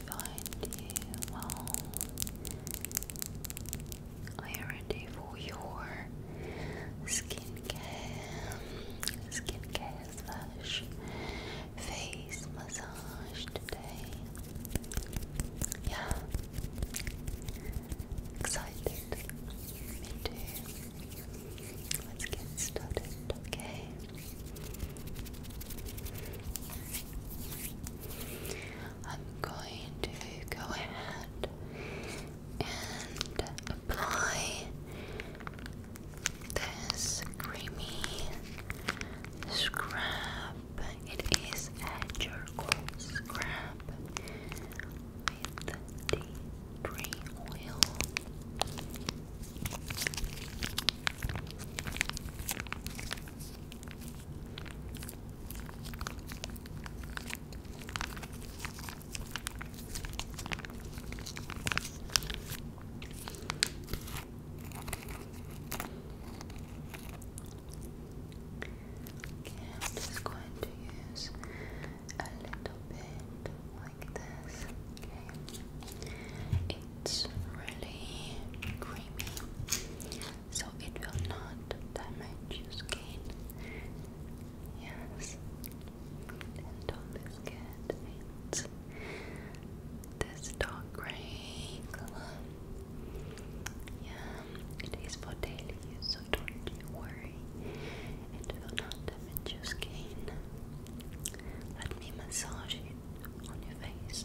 find you well. Are you ready for your skincare? Skincare slash face massage today. Yeah. Excited. Me too. Let's get started, okay? I'm going to go ahead and apply this creamy scrub. It is a charcoal scrub with the tree oil. I'm just going to use a little bit like this. it's really creamy so it will not damage your skin. Yes, and don't forget it's this dark gray color. Yeah, it is for daily use, so don't you worry. It will not damage your skin. Let me massage it on your face.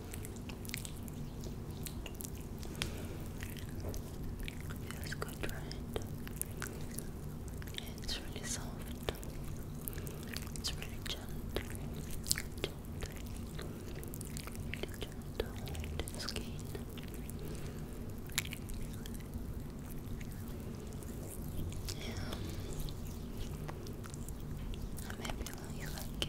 Feels good, right? It's really soft. It's really gentle. Gentle. Really gentle on the skin. Yeah. Maybe you like it.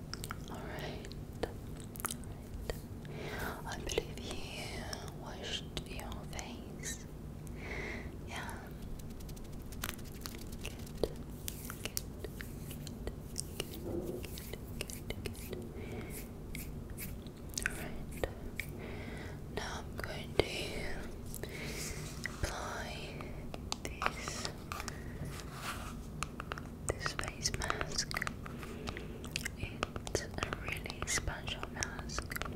Alright. I believe you washed your face. Yeah. Good. Good. Good. Good. Good. Good. Alright. Now I'm going to apply this this face mask. It's a really special mask.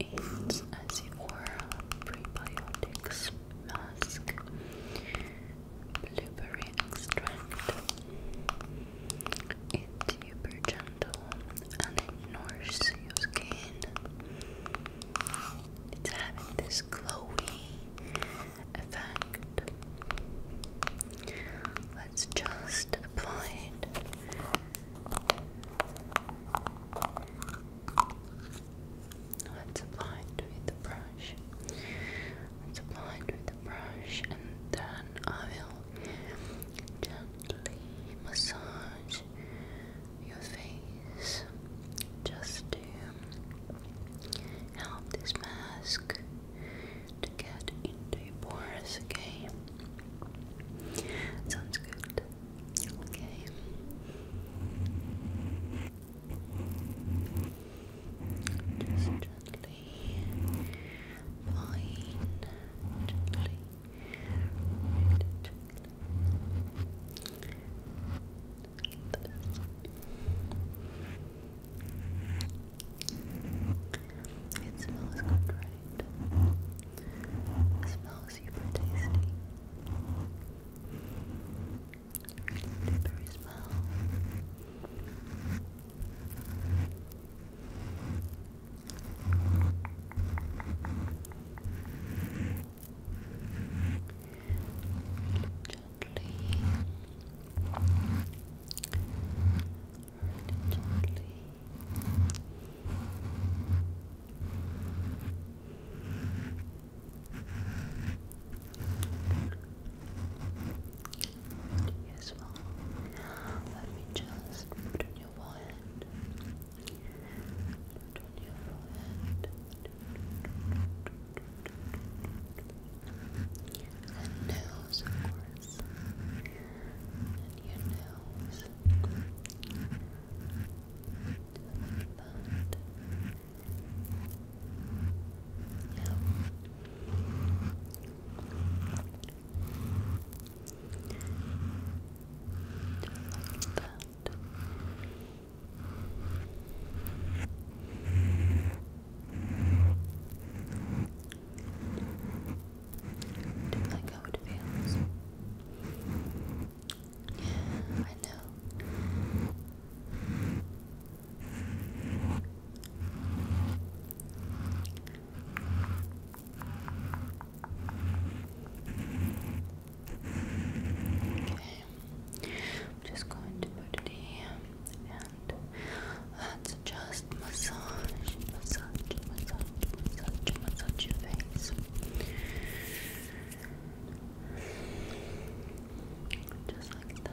It's a prebiotic mask, blueberry extract. It's super gentle and it nourishes your skin. It's having this glowy effect. Let's just apply it. Let's apply it with the brush. Let's apply it with the brush, and then I will gently massage your face just to help this mask to get into your pores, okay? Sounds good. Okay. Just gently, fine, gently, gently. It smells good, right? It smells super tasty. Blueberry smell. Gently. Gently. Yes, well, let me just put on your forehead. Put on your forehead. And nose, of course. And your nose. Like that. Do you like how it feels? Yeah, I know. Okay. I'm just going to put it here and let just massage, massage, massage, massage, massage your face. Just like that.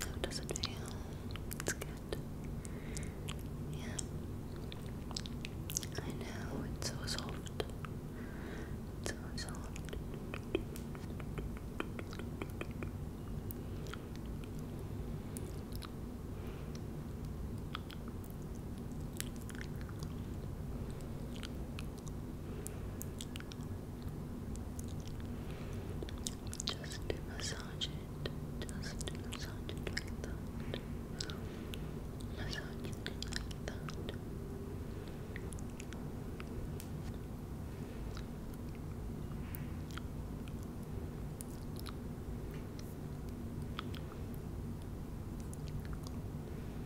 How does it feel? It's good. Yeah. I know, it's so soft. It's so soft. Just massage it. Just massage it Massage it like that.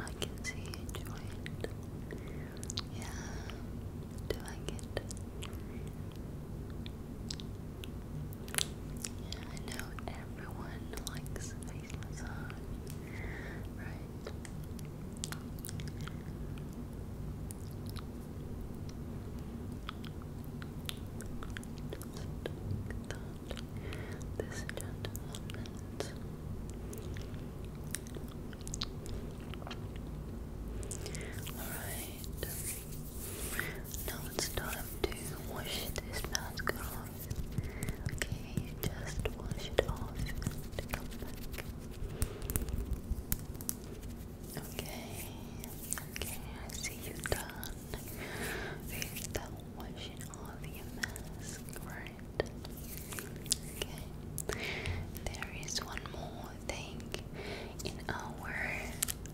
I can see you enjoy it. Yeah, do like it? Yeah, I know everyone likes face massage, right? this gentleman's alright now it's time to wash this mask off okay, just wash it off Okay, okay, I see you done. we washing all the mask, right? There is one more thing in our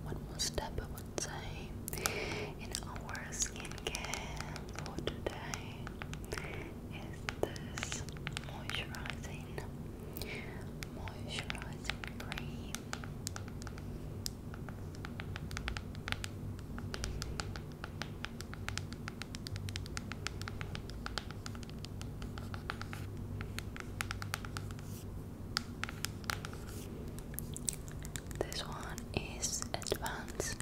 one more step I would in our skincare for today is this moisturizing moisturizing cream. This one is advanced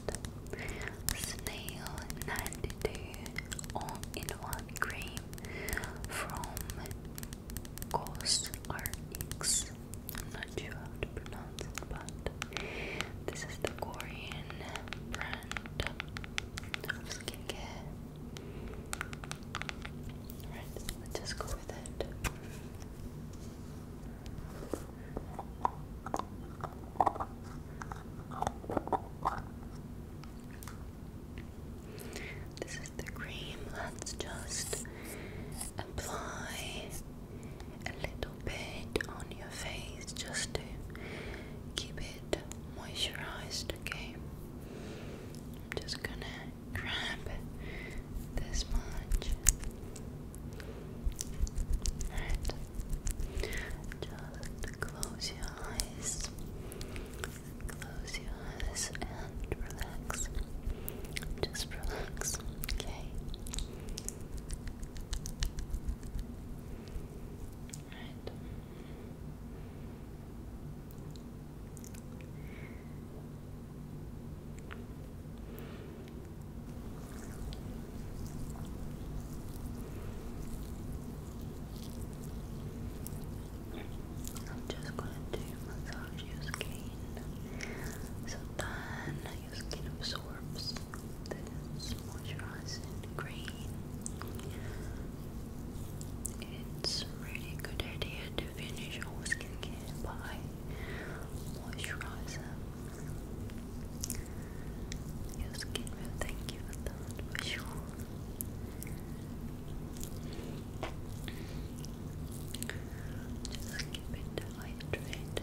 snail 92 all in one cream from Ghost RX. I'm not sure how to pronounce it, but this is the Korean brand of skincare. Alright, so let's just go with it. This is the cream. Let's just apply a little bit on your face just to keep it moisturized, okay? I'm just gonna grab this much and just close your eyes. Close your eyes and relax. Just relax, okay? Right. I'm just going to massage your skin so then your skin absorbs moisturizing cream. It's really good idea to finish all skincare by moisturizer. Your skin will thank you for that for sure. Just keep it hydrated.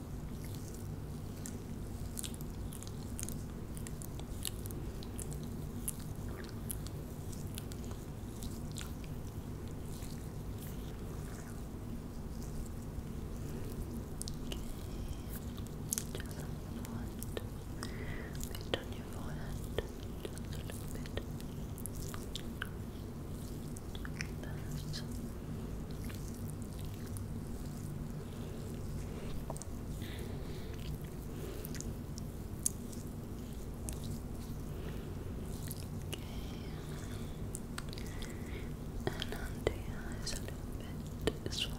Bit on your forehead, just a little bit. Good this. Okay. And on eyes a little bit as well. Just like that.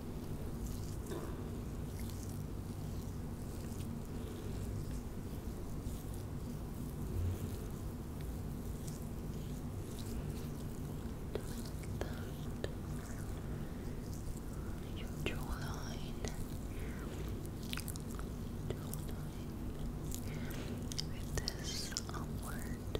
Your jawline, jawline with this upward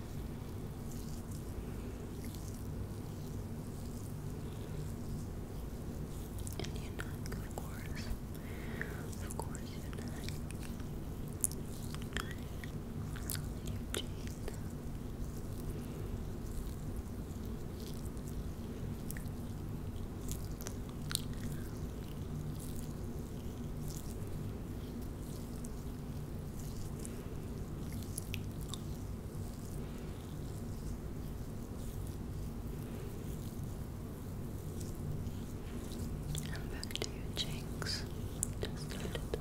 And you of course. Of course you knock. And back to your cheeks, just a little bit.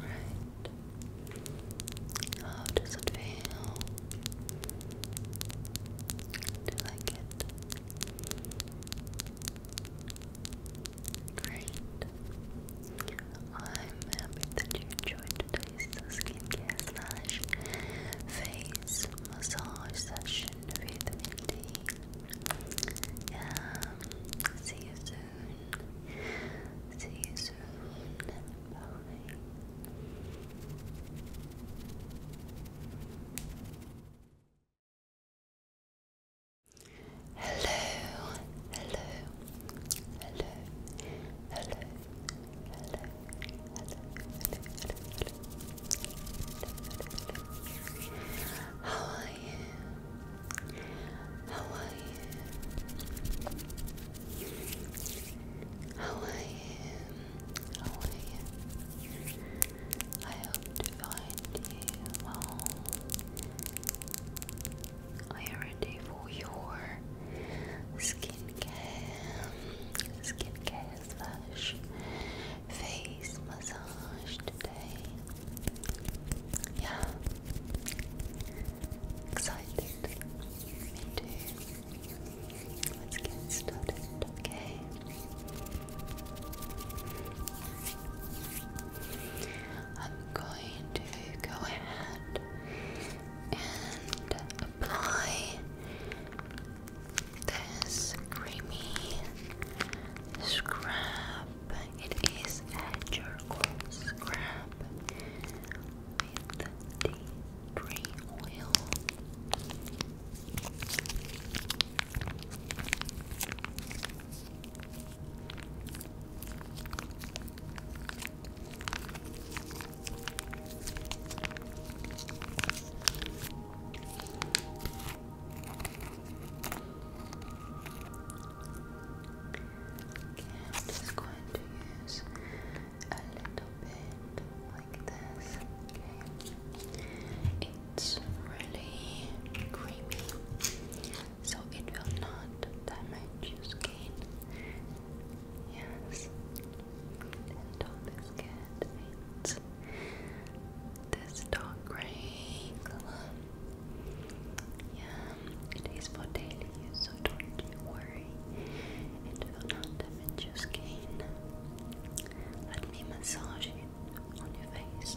Right. How does it feel? Do you like it? Great. I'm happy that you enjoyed today's skincare slash face massage session with Mindy. Um, see you soon. See you soon. Hello. Hello. Hello. Hello. Hello. Hello. Hello. Hello. Hello. How are you? How are you? How are you? How are you? I hope to find you well. Are you ready for your skincare? Skincare slash face massage today. Yeah. Excited. Me too. Let's get started, okay? I'm going to go ahead and apply this creamy scrub it is a charcoal scrub with tea tree oil. Okay, I'm just going to use a little bit like this. it's really creamy, so it will not damage your skin. Yes, and all is good. It's this dark grey colour. Yeah, it is for daily use, so don't you worry. It will not damage your skin. Let me massage it on your face.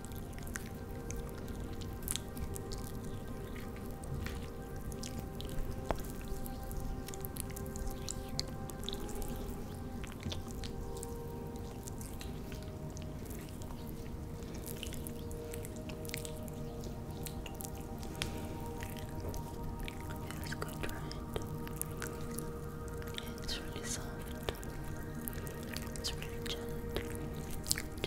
It's good, right? It's really soft. It's really gentle.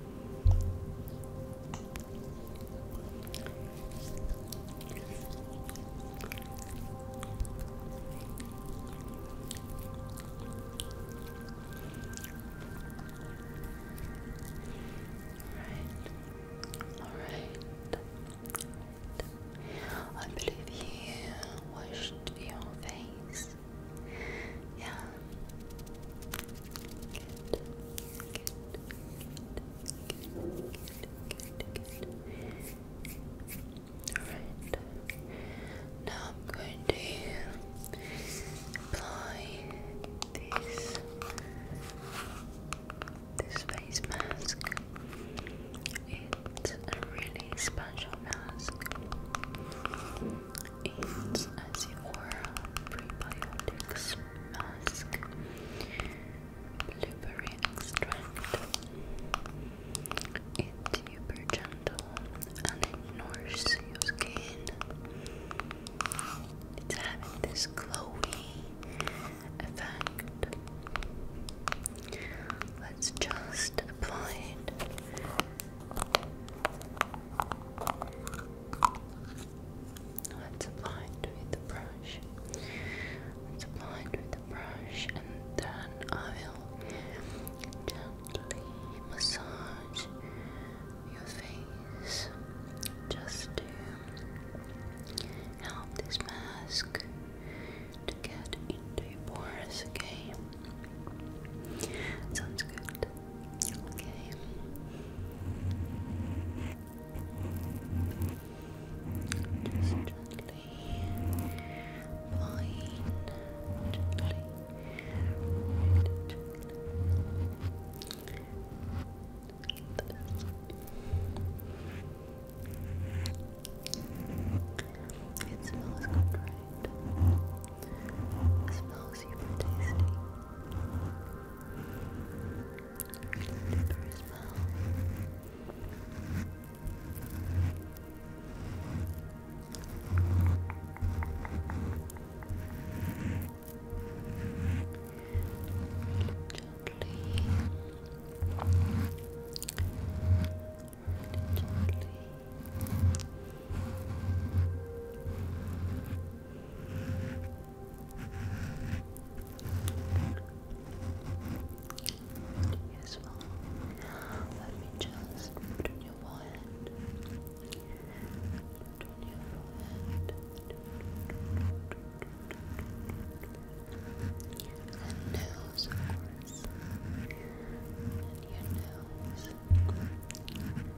All right. All right. I believe you washed your face. Yeah, all right. Now I'm going to apply this this face mask. It's a really special mask aids as your prebiotics mask. Blueberry extract. It's super gentle and it nourishes your skin. It's having this glowy effect. Let's just apply it i us apply it with the brush. apply it with the brush, and then I will gently massage your face just to help this mask to get into your pores. Okay, sounds good. Okay. Just gently, fine, gently, gently. It smells good, right? It smells super tasty. Pepper smell. Really gently. Really gently. Yes, well, let me just turn your forehead. Turn your forehead. And nose, of course. And your nose.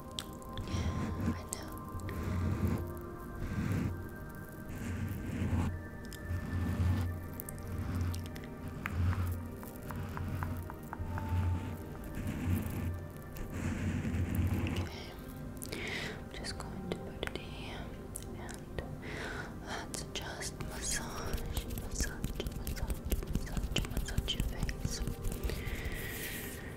I Okay, just going to put it here let's just massage, massage, massage, massage your face.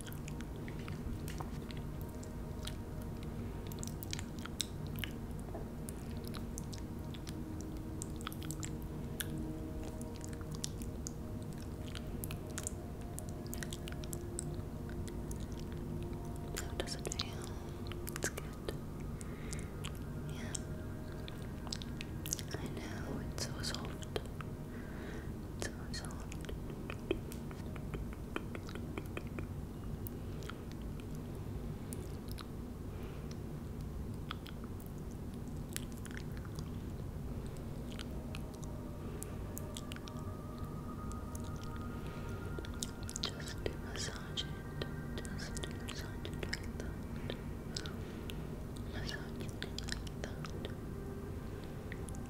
No, it doesn't feel. It's good. Yeah. I know, it's so soft. So soft. Just massage it. Just massage Massage it Massage it like that.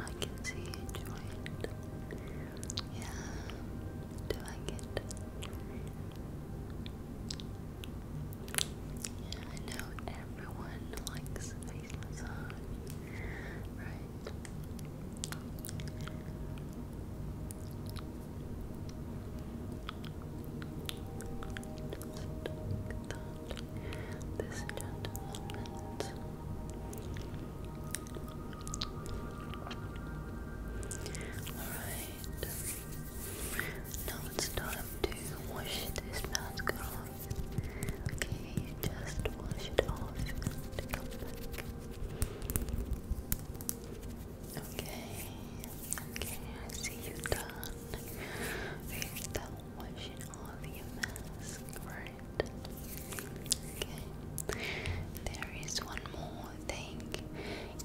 I can see you enjoy it. Yeah, do I get? Yeah, I know everyone likes face massage. Alright. Now it's time to wash this mask off. Okay, just wash it off Okay, okay, I see you done. We're washing off your mask, right? Okay. There is one more thing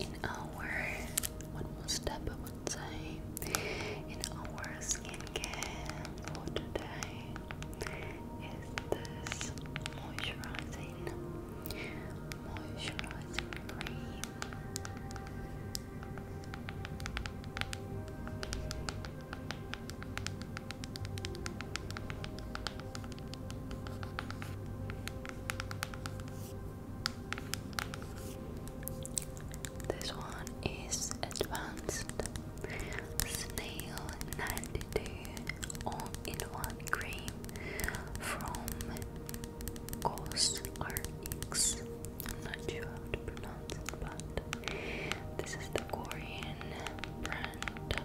in our one more step I one time in our skincare for today is this moisturizing moisturizing cream. This one is advanced snail 92 all in one cream from Ghost RX. I'm not sure how to pronounce it, but this is the Korean brand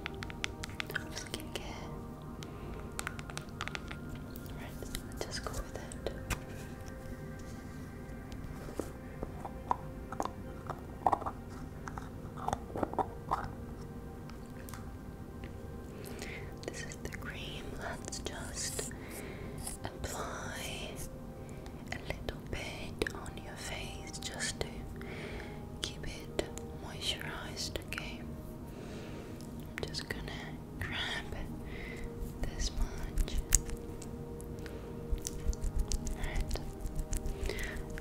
of skincare. let's just go with it. This is the cream. Let's just apply a little bit on your face just to keep it moisturized. Okay, I'm just gonna grab this much.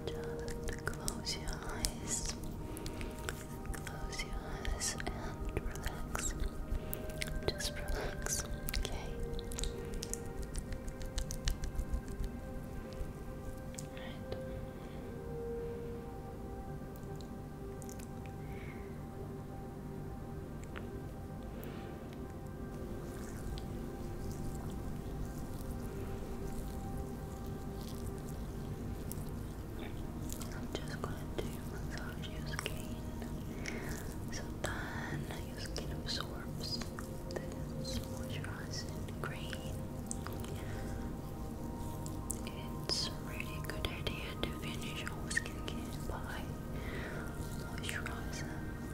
Just close your eyes. Close your eyes and relax. Just relax, okay? Alright. I'm just going to massage your skin so then your skin absorbs this moisturizing cream. It's really good idea to finish all skincare by moisturizer.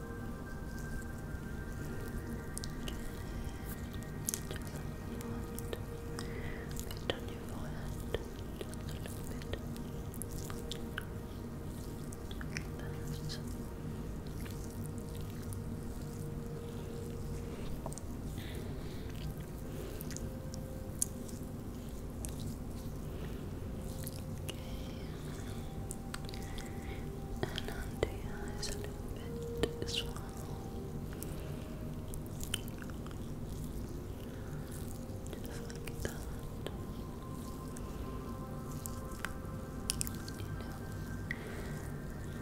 bit on your forehead, just a little bit. Okay and under your eyes a bit as well. Just like that.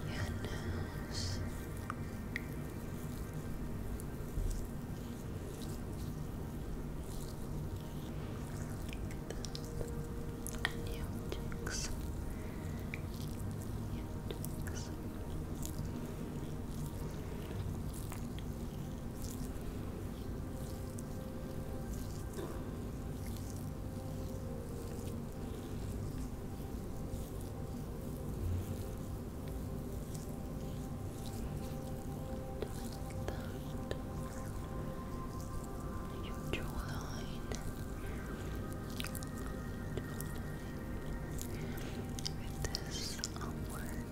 You your nose and you, cheeks, your cheeks. Like that your jawline, jawline. this upward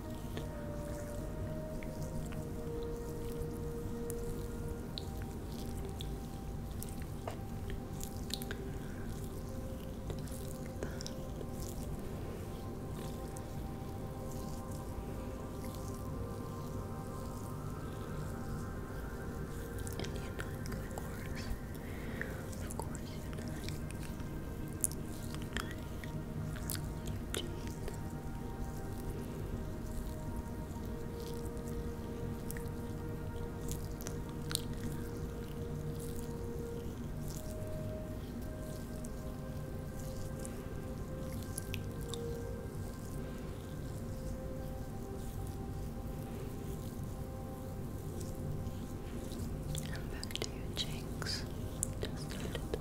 and you know, of course, of course, you know. And back to your cheeks, just a little bit.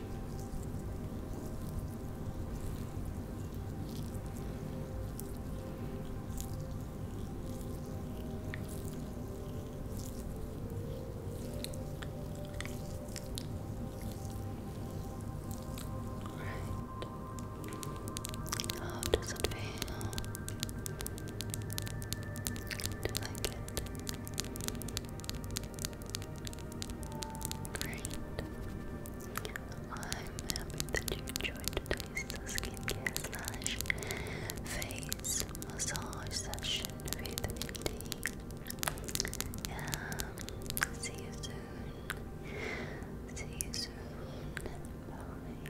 Right. How does it feel? Do you like it? Great. I'm happy that you enjoyed today's skincare slash face massage session with D. See you soon. See you soon. Bye.